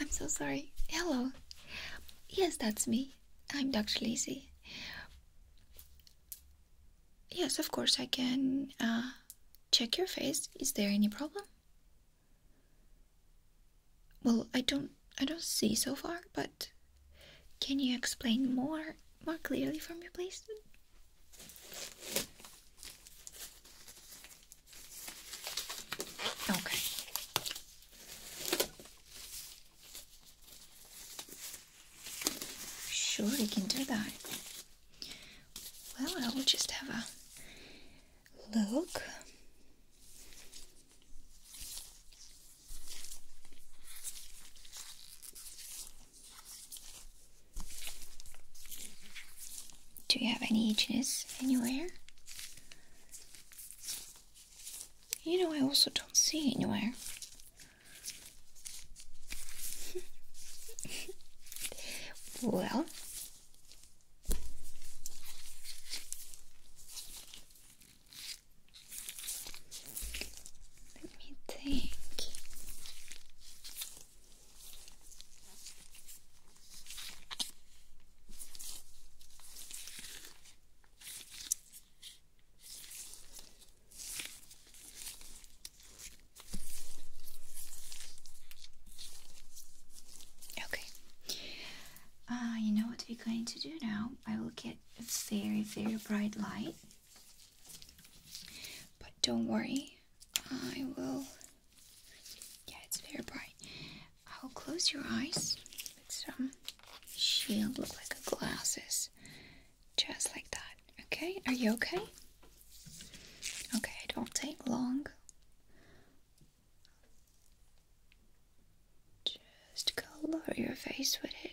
I'm so sorry. Hello. Yes, that's me. I'm Dr. Lizzie. Yes, of course, I can uh, check your face. Is there any problem? Well, I don't I don't see so far, but can you explain more more clearly from your place? Okay. Sure, we can do that. Well, I will just have a look. Do you have any itchiness anywhere? You know, I also don't see anywhere. well, let me think. Okay. Uh, you know what we're going to do now? I will get a very, very bright light. But don't worry, I will yeah, it's very bright. I'll oh, close your eyes with some um, shield, look like a glasses. Just like that. Okay, are you okay? Okay, it won't take long. Just color your face with it.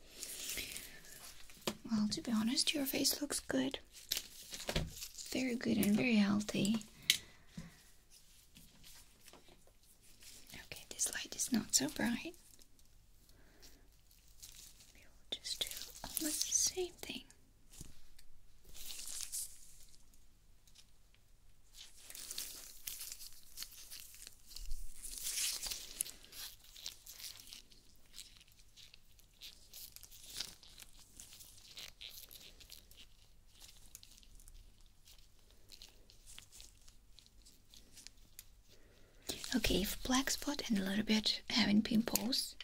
Well, to be honest, your face looks good. Very good and very healthy. Okay, this light is not so bright. We will just do almost the same thing. Okay, if black spot and a little bit having pimples,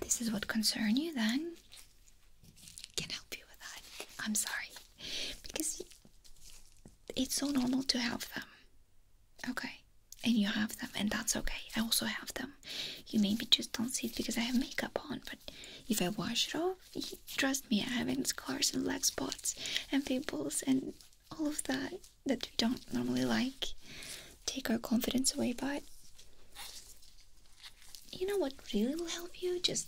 this is what concern you, then can help you with that. I'm sorry, because it's so normal to have them. Um, Okay, and you have them, and that's okay. I also have them. You maybe just don't see it because I have makeup on, but if I wash it off, trust me, I have scars and black spots and pimples and all of that that we don't normally like. Take our confidence away, but you know what really will help you? Just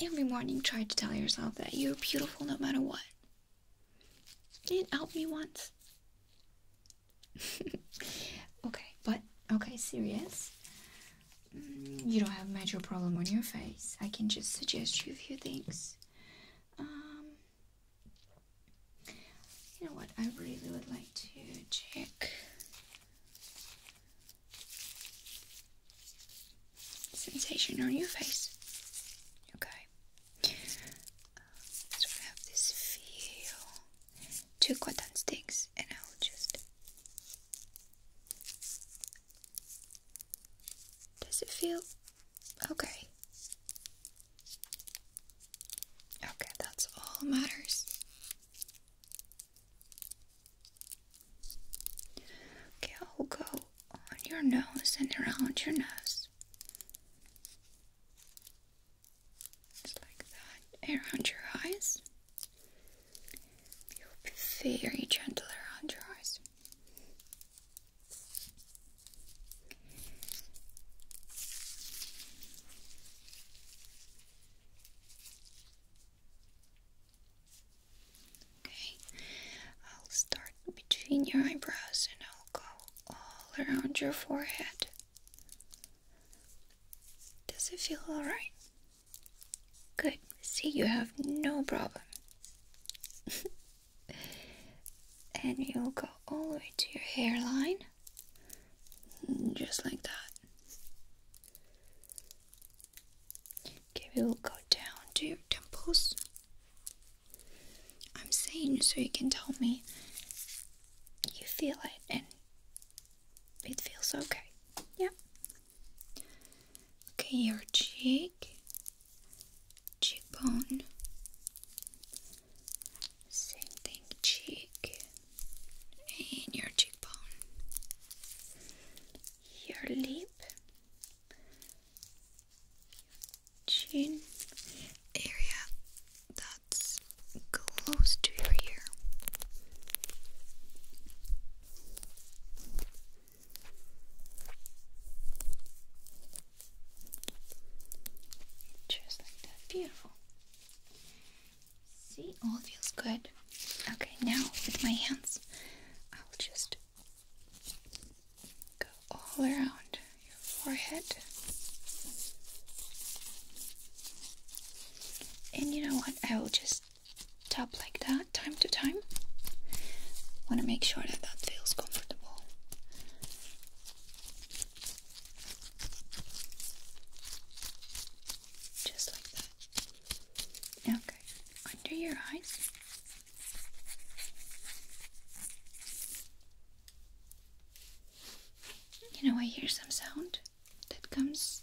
every morning try to tell yourself that you're beautiful no matter what. You didn't help me once. okay, but okay, serious. Mm, you don't have major problem on your face. I can just suggest you a few things. Um, you know what? I really would like to check sensation on your face. Okay. Uh, so I have this feel. Two cotton sticks, and I will just. Does it feel okay? Okay, that's all matters. Okay, I'll go on your nose and around your nose. Just like that, around your eyes. be very gentle around your eyes. Okay, I'll start between your eyebrows and I'll go all around your forehead. Does it feel alright? Good, see, you have no problem. and you'll go all the way to your hairline, just like that. Okay, we'll go down to your temples. I'm saying so you can tell me you feel it and it feels okay. Yeah. Okay, your cheek, cheekbone, same thing, cheek, and your cheekbone, your lip, chin area that's close to your ear. Just like that, beautiful. See, all feels good. Okay, now with my hands, I'll just Go all around your forehead. And you know what? I will just tap like that time to time. Want to make sure that that feels comfortable. Just like that. Okay, under your eyes. You know, I hear some sound that comes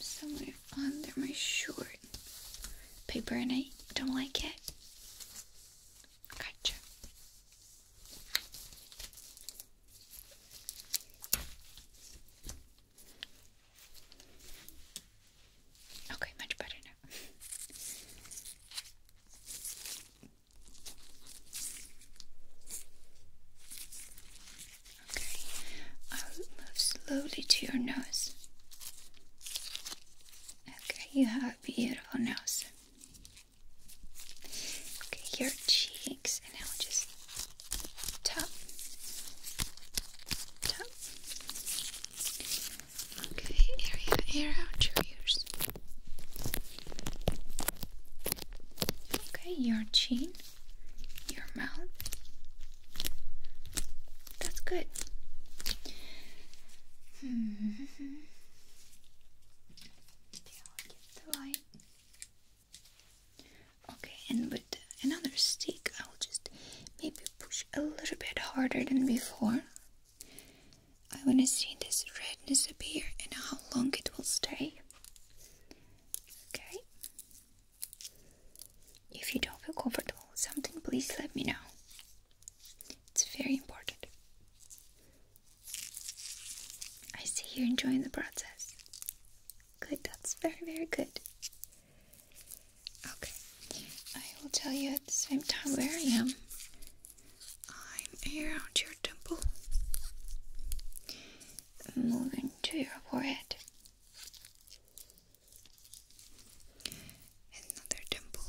somewhere under my shirt paper, and I don't like it. Gotcha. Okay, much better now. okay, I'll move slowly to your nose. Okay, you have a beautiful nose. Okay, your cheeks, and now just tap, tap, Okay, area, air out your ears. Okay, your chin, your mouth. That's good. Hmm. Okay, and with another stick, um, just maybe push a little bit harder than before. I want to see this redness appear and how long it will stay. Okay. If you don't feel comfortable with something, please let me know. It's very important. I see you're enjoying the process. Good, that's very, very good. Okay, I will tell you at the same time where I am. I'm around your temple, moving to your forehead. Another temple.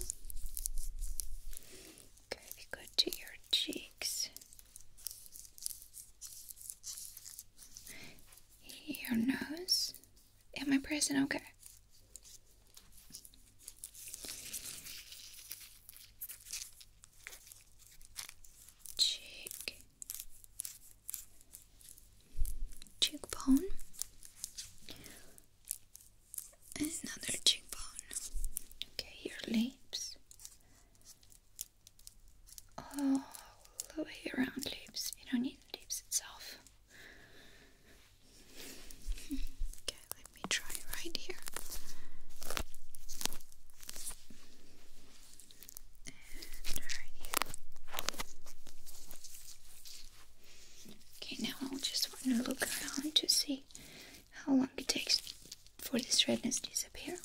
Okay, go to your cheeks, your nose. Am I present, okay? Cheek, cheekbone, and another cheekbone. Okay, your lips, all the way around lips. You don't need lips itself. Okay, let me try right here. And right here. Okay, now I'll just want to look around to see how long it takes for this redness to disappear.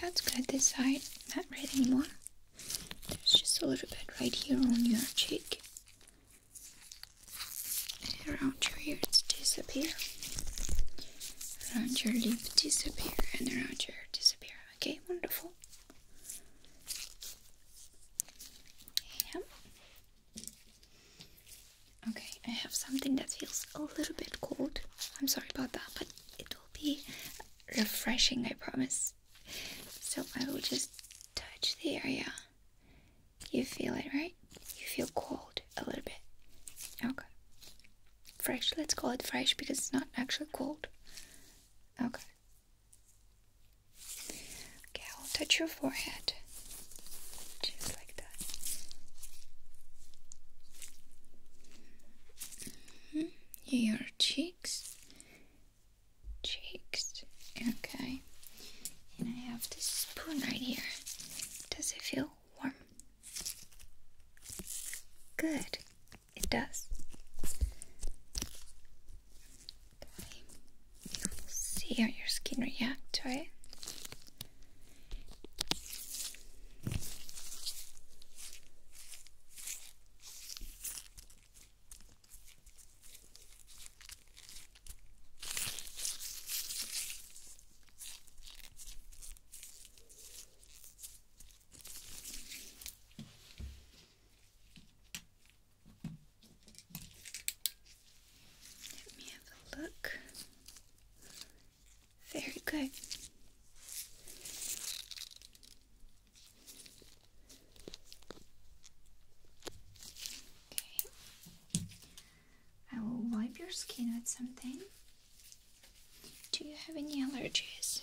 That's good, this side, not red anymore. There's just a little bit right here on your cheek. around your ears disappear. Around your lip disappear and around your ear disappear. Okay, wonderful. Yeah. Okay, I have something that feels a little bit cold. I'm sorry about that, but it will be refreshing, I promise. So I will just touch the area. You feel it, right? You feel cold a little bit. Okay. Fresh, let's call it fresh because it's not actually cold. Okay, Okay, I'll touch your forehead just like that. Mm-hmm. Your cheeks, cheeks. Okay, and I have this spoon right here. Does it feel warm? Good, it does see how your skin reacts, to it. Let me have a look. Very good. Okay. I will wipe your skin with something. Do you have any allergies?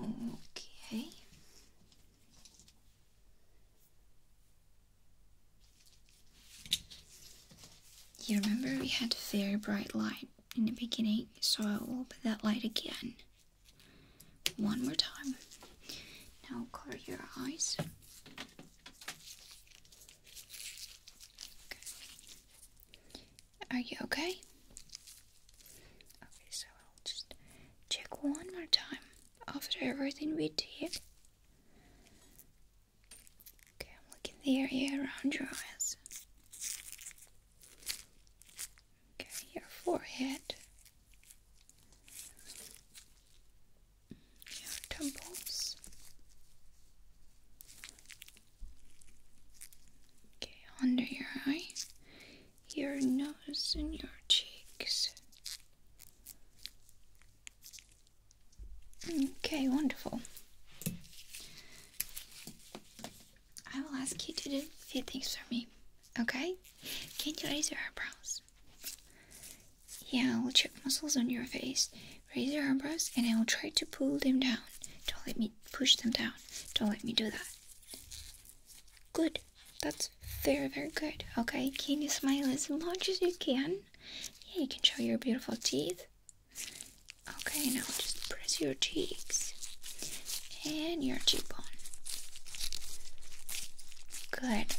Okay. You remember we had a very bright light in the beginning, so I will put that light again. One more time. Now cover your eyes. Are you okay? Okay, so I'll just check one more time after everything we did. Okay, I'm looking the area around your eyes. Okay, your forehead. Your temples. Okay, under your eyes, your nose, and your cheeks. Okay, wonderful. I will ask you to do a few things for me, okay? Can you raise your eyebrows? Yeah, I will check muscles on your face raise your eyebrows and I will try to pull them down. Don't let me push them down. Don't let me do that. Good. That's very, very good. Okay, can you smile as much as you can? Yeah, you can show your beautiful teeth. Okay, now just press your cheeks and your cheekbone. Good.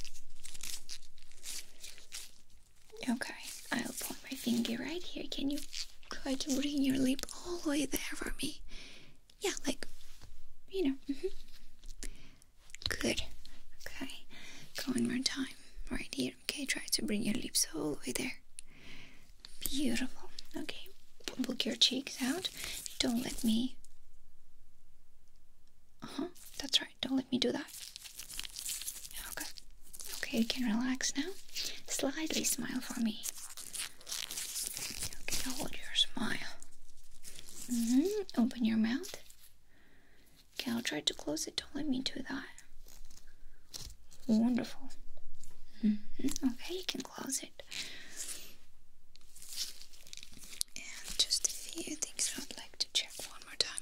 Okay, I'll point my finger right here. Can you try to bring your lip all the way there for me? Yeah, like, you know. Mm-hmm. Good. Okay, go one more time. Right here. Okay, try to bring your lips all the way there. Beautiful. Okay, book your cheeks out. Don't let me. Uh huh. That's right. Don't let me do that. Okay. Okay, you can relax now. Slightly smile for me. Okay, hold your smile. -hmm. Open your mouth. Okay, I'll try to close it. Don't let me do that. Wonderful. Mm-hmm. Okay, you can close it. And just a few things I would like to check one more time.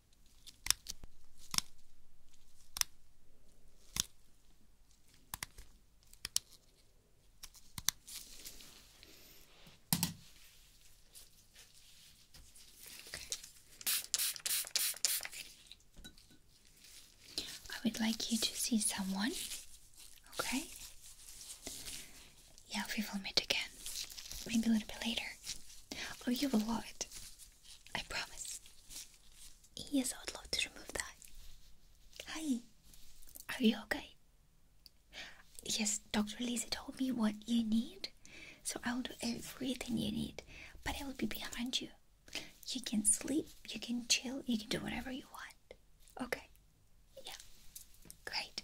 I would like you to see someone, okay? Yeah, we will meet again. Maybe a little bit later. Oh, you will love it. I promise. Yes, I would love to remove that. Hi, are you okay? Yes, Dr. Lisa told me what you need, so I will do everything you need, but I will be behind you. You can sleep, you can chill, you can do whatever you want. Okay? Yeah, great.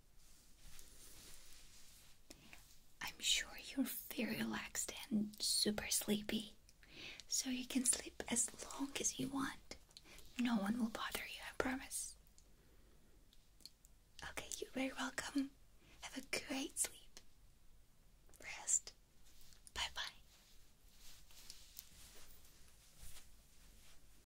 I'm sure you're very relaxed and super sleepy, so you can sleep as long as you want. No one will bother you, I promise. Okay, you're very welcome. Have a great sleep. Rest. Bye bye.